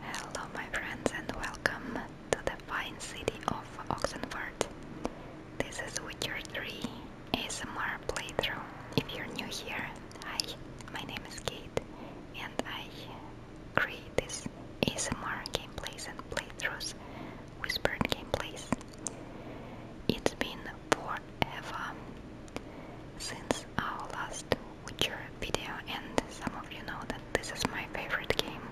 Hello my friends and welcome to the fine city of Oxenford. This is Witcher 3 ASMR playthrough. If you're new here, hi, my name is Kate and I create this ASMR gameplays and playthroughs, whispered gameplays. It's been forever since our last Witcher video and some of you know that this is my favorite game.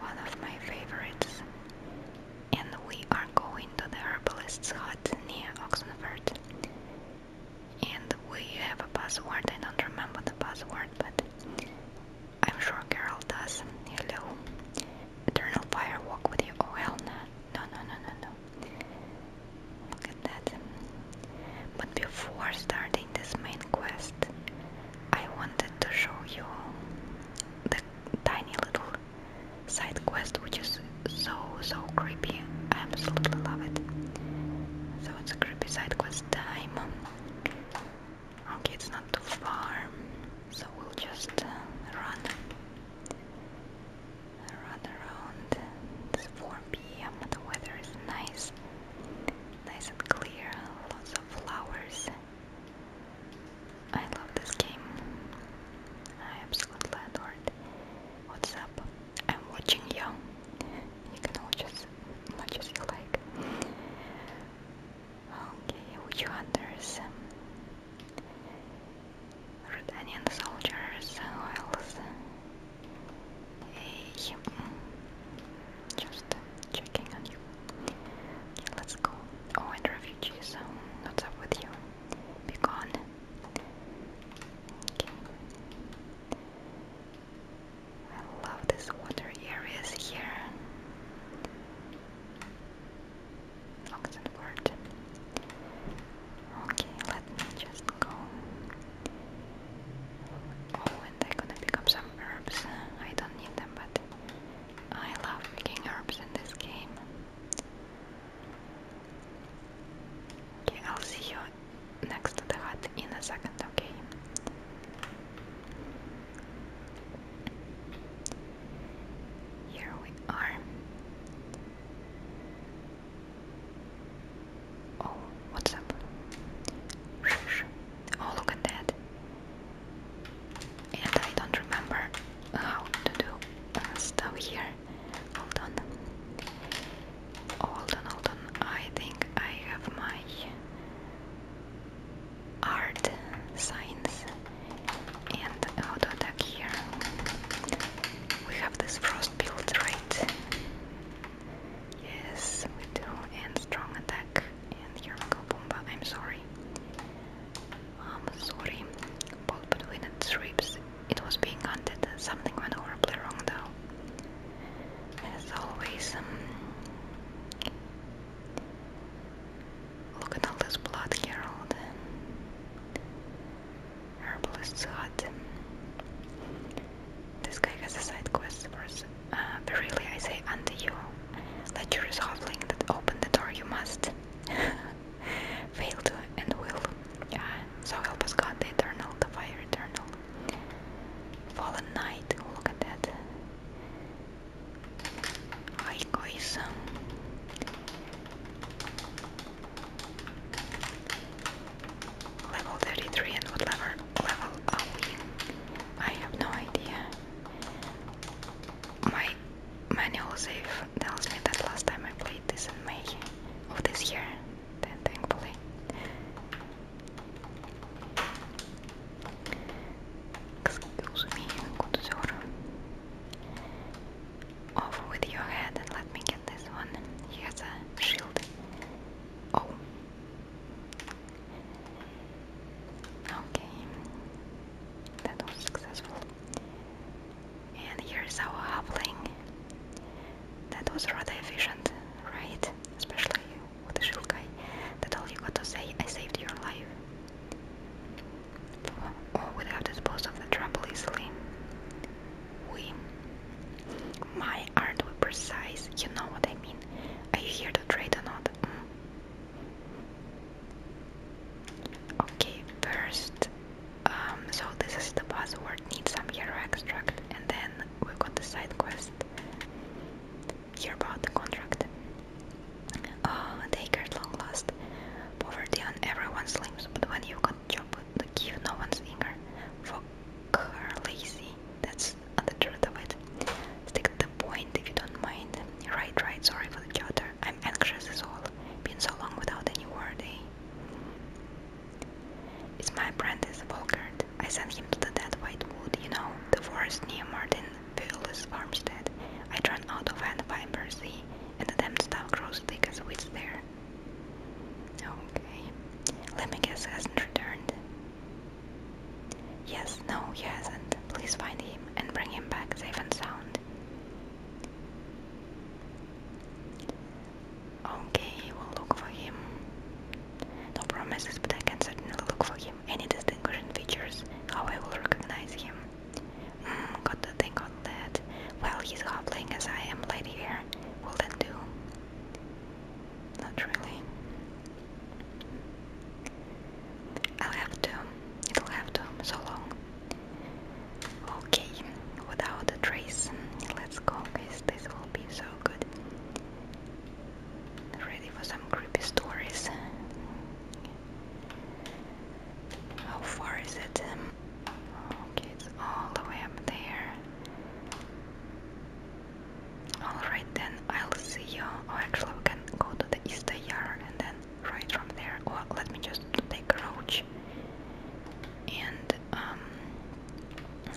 One of my favorites. And we are going to the herbalist's hut near Oxenford. And we have a password. I don't remember the password, but I'm sure Carol does. Hello. Eternal fire walk with you. Oh hell no. No no no no no. Look at that. But before starting this main quest, I wanted to show you the tiny little side quest which is so so creepy. I absolutely love it. So it's a creepy side quest time. Okay, it's not too far, so we'll just uh, run, run around this forest p.m. The weather is nice, nice and clear, lots of flowers. I love this game. I absolutely adore it. What's up? I'm watching you. You can watch as much as you like. Okay, which hunters? Red Onion soldiers, who else? Hey, um, just checking on you. let's go. Oh, and refugees, um, what's up with you? Be gone. Okay. I love these water areas here. Oxenford. Okay, let me just go. Oh, and I'm gonna pick up some herbs. I don't need them, but I love picking herbs in this game. Okay, I'll see you next to the hut in a second, okay? Here we are. Oh, what's up? Oh, look at that. And I don't remember how to do uh, stuff here. Hold on. Hold on, hold on. I think I have my art signs and auto attack here. We have this frost build, right? Yes, we do. And strong attack. And here we go, Pumba. I'm sorry. I'm sorry. Ball between its ribs. It was being hunted. Something went horribly wrong, though. As always, um, look at all this blood, Gerald. Herbalist Zod. This guy has a side quest verse. Uh, but really, I say unto you, let your hoveling that open the door you must fail to and will. Yeah. So help us God, the eternal, the fire eternal. Fallen Knight, oh, look at that. Hi guys. Level 33 and what level, level I have no idea. My manual save tells me that last time I played this in May of this year, then thankfully. Excuse me, good sir. Off with your head and let me get this one. He a shield. Oh. Okay. That was successful. And here's our halfling. That was rather efficient, right? Especially with the shield That all you got to say, I saved your life. Or would have disposed of the trouble easily. We my aren't we precise? You know what I mean. Are you here to trade or not? Mm. Okay, first, um, so this is the password. Need some hero extract, and then we've got the side quest. Hear about the contract. Oh, they get long lost. Poverty on everyone's limbs, but when you got chop give no one's finger. For lazy, that's the truth of it. Stick to the point if you don't mind. Right, right, sorry for the clutter. I'm anxious as all. Been so long without any word, eh? It's my apprentice, Volkert. I sent him to the dead white wood, you know, the forest near Martinville's farmstead. I ran out of hand fibers, see, and the damn stuff grows thick as weeds there. Okay. Let me guess, hasn't returned. Yes, no, he hasn't. Please find him and bring him back safe and sound. Okay, we'll look for him. No promises, but I can certainly look for him. Any distinguishing features, how I will recognize him. Mm, got to think on that. Well, he's hobbling as I am late here. Will that do? Not really. I'll have to. It'll have to. So long. Okay, without a trace. Let's go, guys. This will be so good. Ready for some creepy stories. How far is it? Um, okay, it's all the way up there. Alright then, I'll see you. Oh, actually, we can go to the Easter Yard and then right from there. Or let me just take a roach. And um,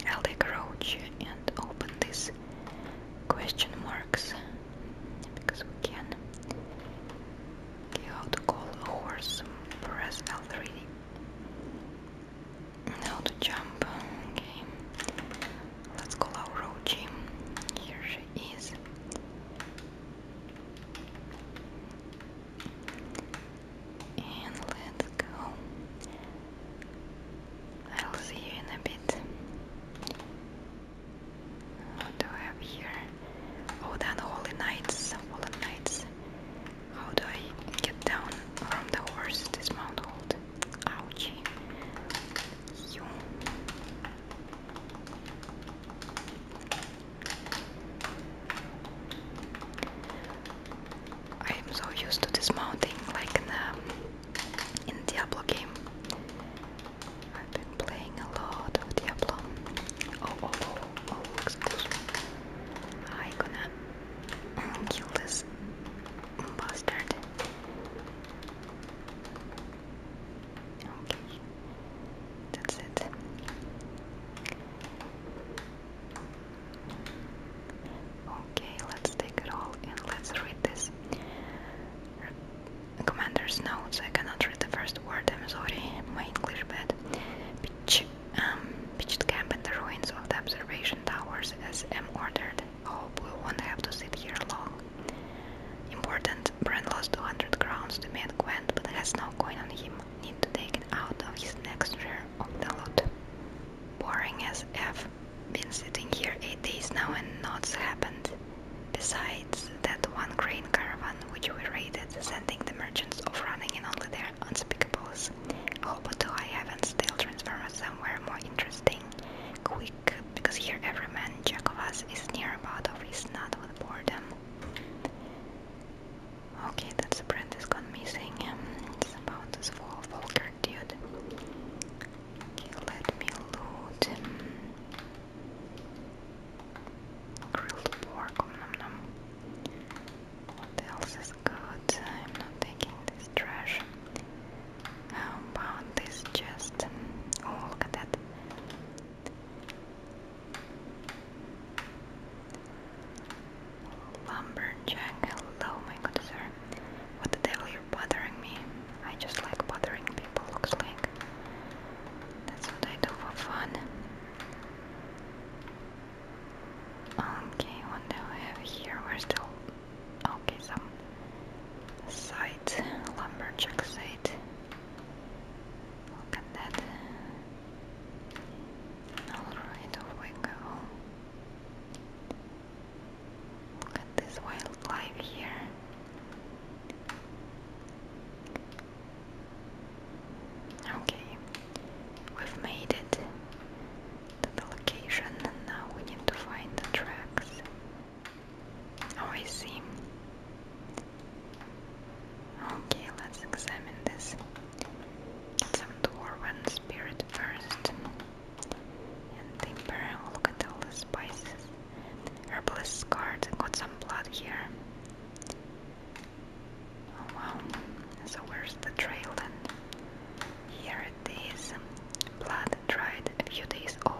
I'll take a roach and open these question marks because we can. how to call a horse? Press L3. Now to jump. Okay. Let's call our Rochi. Here she is. And let's go. I'll see you in a bit. What do I have here? Oh, then Holy Knights, Fallen Knights. How do I get down from the horse? Dismount Ouchie. You. I am so used to dismounting like in the, Diablo game. I've been playing a lot of Diablo. Oh, oh, oh, oh, excuse me. gonna Kill this bastard. Okay, that's it. Okay, let's take it all and let's read this. Commander's notes. I cannot read the first word. I'm sorry. My English bad. Um, pitched camp in the ruins of the observation towers as ordered. Hope oh, we won't have to sit here long. Important, Brent lost 200 crowns to meet Gwent, but has no coin on him. Need to take it out of his next share of the loot. Boring as F. Been sitting here 8 days now and nought's happened. Besides that one grain caravan which we raided, sending the merchants off running in only their unspeakables. Oh, but do I haven't still transformed somewhere more interesting? Quick, because here every man jack is near about of is not with boredom. Okay, that's the brand is gone missing. Um, it's about this full vulgar dude. Okay, let me loot um, Grilled pork, nom nom what else is good? I'm not taking this trash. How about this chest? Oh, look at that. Lumberjack, hello, my good sir. What the devil, are bothering me. I just like bothering people, looks like. That's what I do for fun. Okay, what do we have here? We're still okay. Some site, lumberjack site. Look at that. Alright, we go. Look at this wildlife here. Okay, we've made it to the location and now we need to find the tracks. Oh, I see. Okay, let's examine this. Get some dwarven spirit first. And we'll look at all the spices. Herbalist card, got some blood here. Oh, wow, so where's the trail then? Here it is, blood dried a few days old.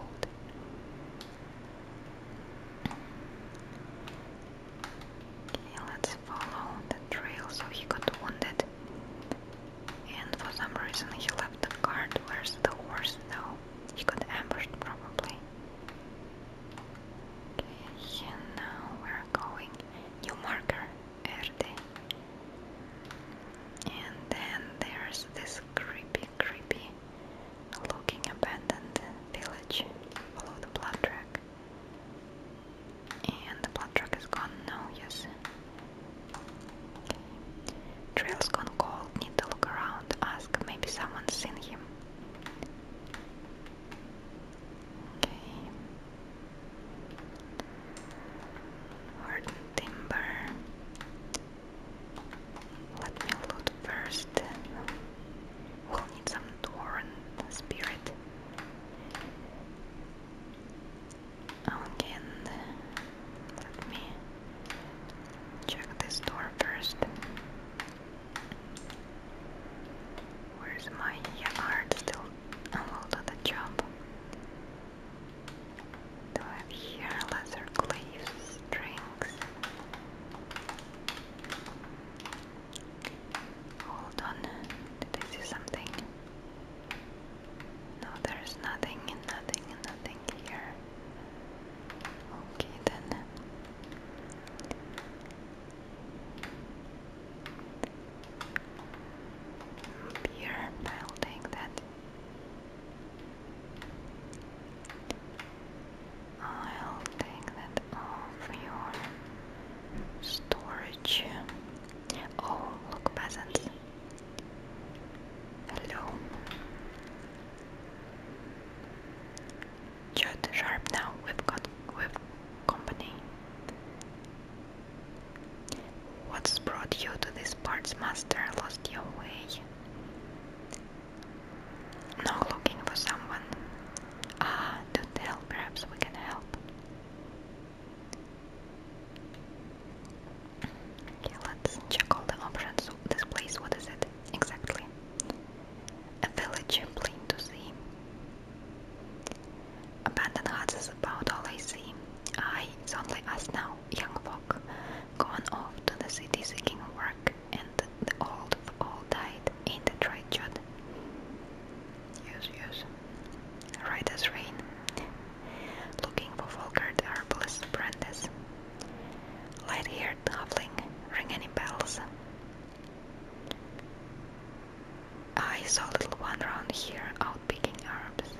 Okay, let's follow the trail. So he got wounded, and for some reason he left the cart. Where's the horse now? He got ambushed probably. Okay, and now we're going. New marker. And then there's this creepy, creepy looking abandoned village. Follow the blood track. And the blood track is gone No, yes. Okay. Trail's gone cold, need to look around, ask, maybe someone's seen him. Okay. Hard timber. Let me loot first. We'll need some Dwarven spirit. Okay, let me check this door first. Where's my art still unloaded the job? Do I have here leather cleaves, strings? Hold on, did I see something? No, there's nothing, nothing, nothing here. Okay then. Beer building that I'll take that off your storage. Oh, look, peasants. Hello. Jot sharp now. We've got we've company. What's brought you to this, parts, master? Lost your way? No, looking for someone. Ah, do tell, perhaps we can help. Okay, let's check all the options. this place, what is it exactly? A village plain to see. Abandoned huts is about all I see. I is only us now, young folk, gone off to the city seeking work, and the old of all died. in the trade, Judd? Use, use. Right as rain. Looking for Volkert herbalist Brandis. Light-haired halfling. Ring any bells? I saw a little one round here out picking herbs.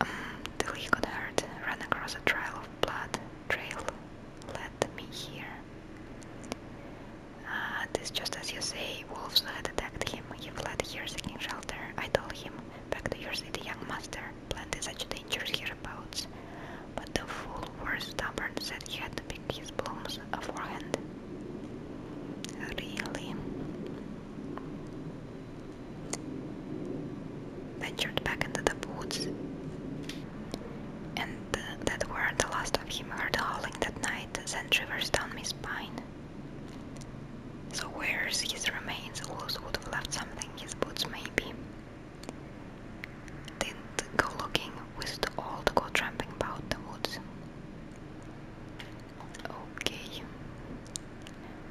Um, the till he hurt, ran across a trail of blood. Trail led me here. Uh, this just as you say, wolves had attacked him. He fled here seeking shelter. I told him, back to your city, young master. planted such dangers hereabouts. But the fool was stubborn, said he had to pick his blooms beforehand. Really? Ventured back into the woods, and that were the last of him heard howling that night, sent shivers down my spine. So, where's his remains? Who else would have left something, his boots maybe. Didn't go looking wished all to go tramping about the woods. Okay.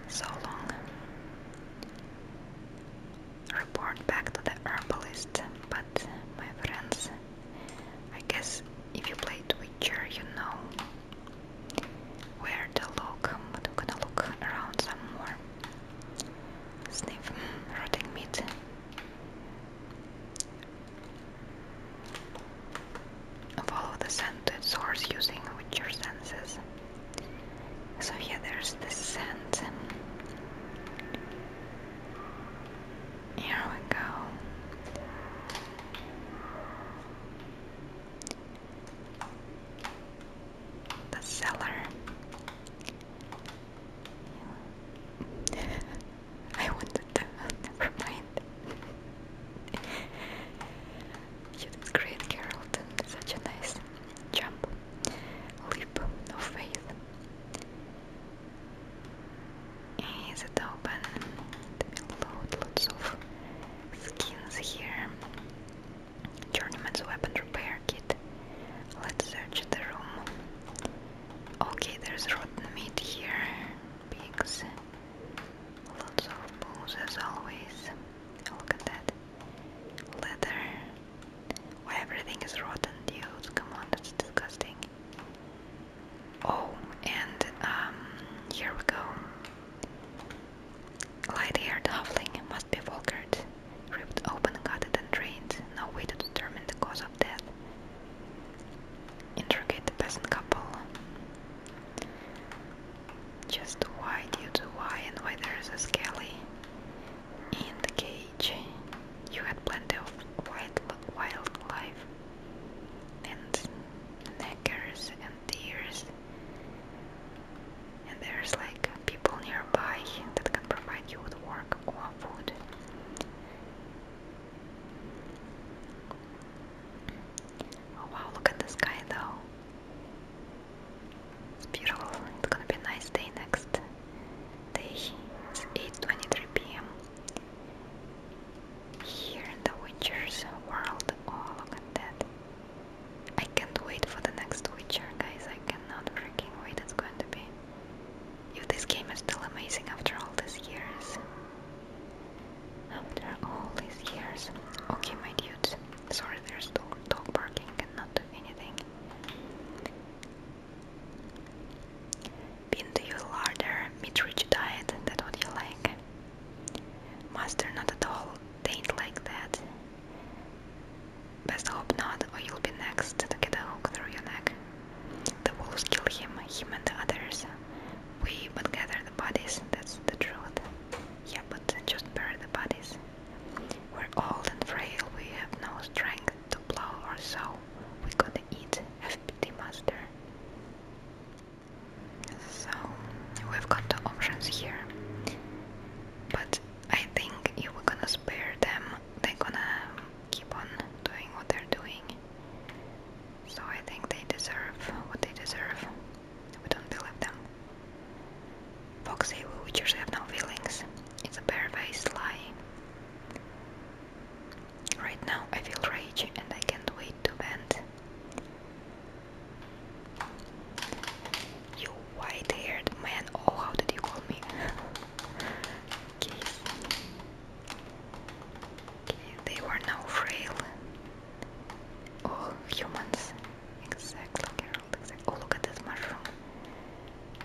So long. Report back to the herbalist, but my friends, I guess if you played Witcher, you know where to look, but i gonna look around some more. Sniff rotting meat. Follow the scent to its source using with your senses. So here, there's the scent. Here we go. The cellar. I wanted to, never mind. you great, Carrollton. Such a nice jump, leap of faith. Is it open? Let me load lots of skins here. Journeyman's weapon repair kit. Let's search the room. Okay, there's rotten meat here. Pigs. Lots of bones as always. Oh, look at that. Leather. Why everything is rotten, dude. Come on, that's disgusting. Oh, and um here we go. Light-haired halfling must be vulgared, ripped open, gutted and drained. No way to determine the cause of cause of the peasant couple. Just why due to why and why there is a skelly in the cage. You had plenty of wild wildlife and neckers and deers. And there's like people nearby that can provide you with work or food. Oh wow, look at the sky though. It's beautiful. It's gonna be a nice day next day. It's 8.23 p.m. Here in the Witcher's world. Oh, look at that. I can't wait for the next Witcher, guys. I cannot freaking wait. It's going to be if this game is still amazing after all these years. After all these years. Okay, my dudes. Sorry, there's dog, dog barking, and not do anything. Been to your larder, meat-rich diet, that what you like. Master, not at all. They ain't like that. Best hope not, or you'll be next to get a hook through your neck. The wolves kill him, him and the others. We but gather the bodies, that's the truth. Yeah, but just bury the bodies. We're old and frail, we have no strength to plow or sow. We gotta eat, FPT master. So, we've got the options here. But I think if we're gonna spare them, they're gonna keep on doing what they're doing. So I think they deserve what they deserve. We don't believe them. Foxy we just have no feelings. It's a bare-faced lie. Right now I feel rage and I can't wait to vent. You white-haired man, oh how did you call me? Kiss. Okay, they were now frail. All oh, humans. Exactly, Carol. Exactly. Oh, look at this mushroom.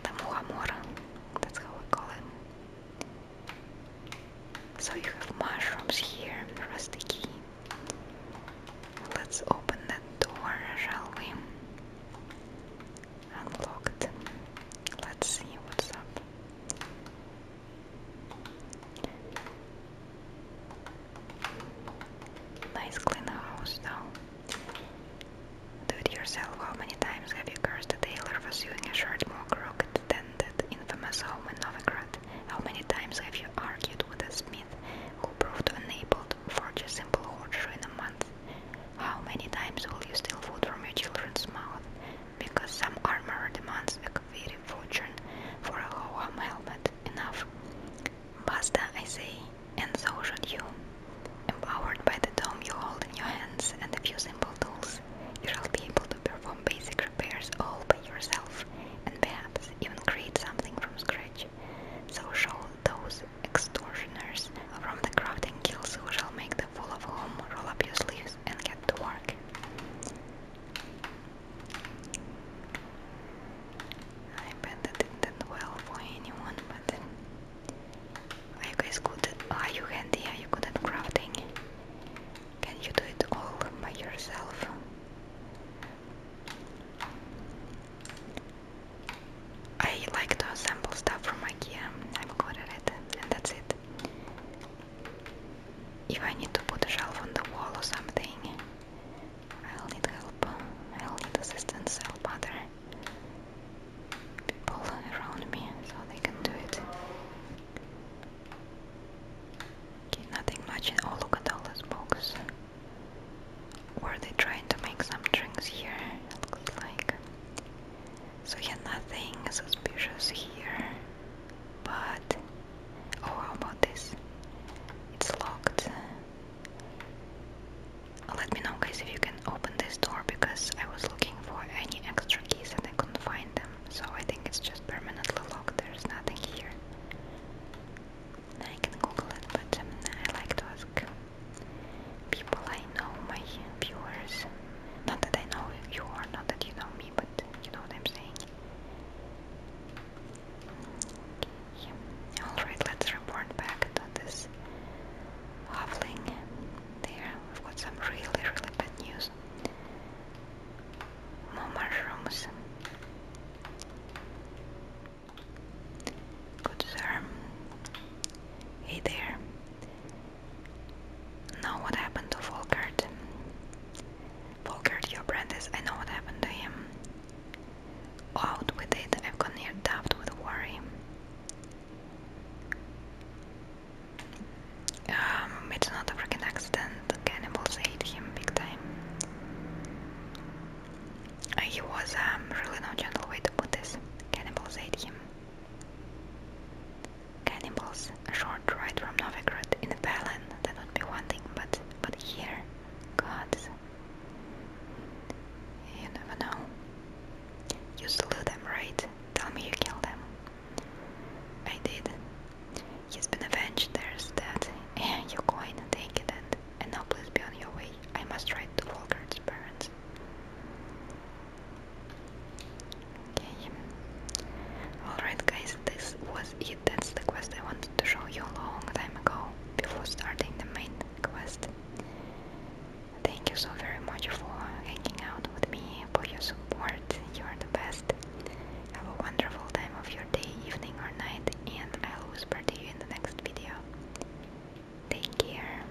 The muhamora. That's how we call it. So you have mushrooms here, rusty key. Let's open the door, shall we? unlocked. Let's see what's up. Nice clean house though. Do it yourself. How many times have you cursed the tailor for sewing a shirt more crooked than that infamous home How many times have you argued with a smith who proved unable to forge a simple horseshoe how many times will you steal food from your children's mouth? Because some armor demands a very fortune for a Hoam helmet. Enough. Basta, I say, and so should you. Empowered by the dome you hold in your hands and a few simple tools, you shall be able to perform basic repairs all by yourself, and perhaps even create something from scratch. So show those extortioners from the crafting kills we shall make the fool of home, roll up your sleeves and get to work. I bet that didn't well for anyone, but are you guys good are you handy? Are you good at crafting? Can you do it all by yourself? I like to assemble stuff from IKEA. I'm good at it and that's it. If I need to put a shelf on the wall or something, I'll need help, I'll need assistance, I'll bother people around me so they can do it. Okay, nothing much. Oh, look at all those books. Were they trying to make some drinks here? looks like. So yeah, nothing suspicious here. But oh, how about this? It's locked. Let me know, guys, if you can open this door because I was looking for any extra keys and I couldn't find them. So I think it's just permanently locked. There's nothing here. I can Google it, but um, I like to ask people I know, my viewers. Not that I know you or not that you know me, but you know what I'm saying. Alright, let's report back to this hoveling. There, we've got some really, really bad news. More mushrooms. Good sir. Hey there. Now what happened to Volkert? Volkert, your apprentice, I know what happened to him. Out with it, I've gone near daft with worry. Um, it's not a freaking accident, cannibals ate him big time. he was um, really no gentle way to put this. Cannibals ate him. Cannibals, a short ride from Novigrad in a Balin, that would be one thing, but but here, gods, you never know. You slew them, right? Tell me you killed them. I did. He's been avenged, there's that. And you your coin, take it and, now please be on your way. I must ride to Volgard's parents. Okay. Alright guys, this was it. That's the quest I wanted to show you a long time ago before starting the main quest. Thank you so very much for hanging out with me, for your support. You are the best. Have a wonderful time of your day, evening or night, and I'll whisper to you in the next video. Take care.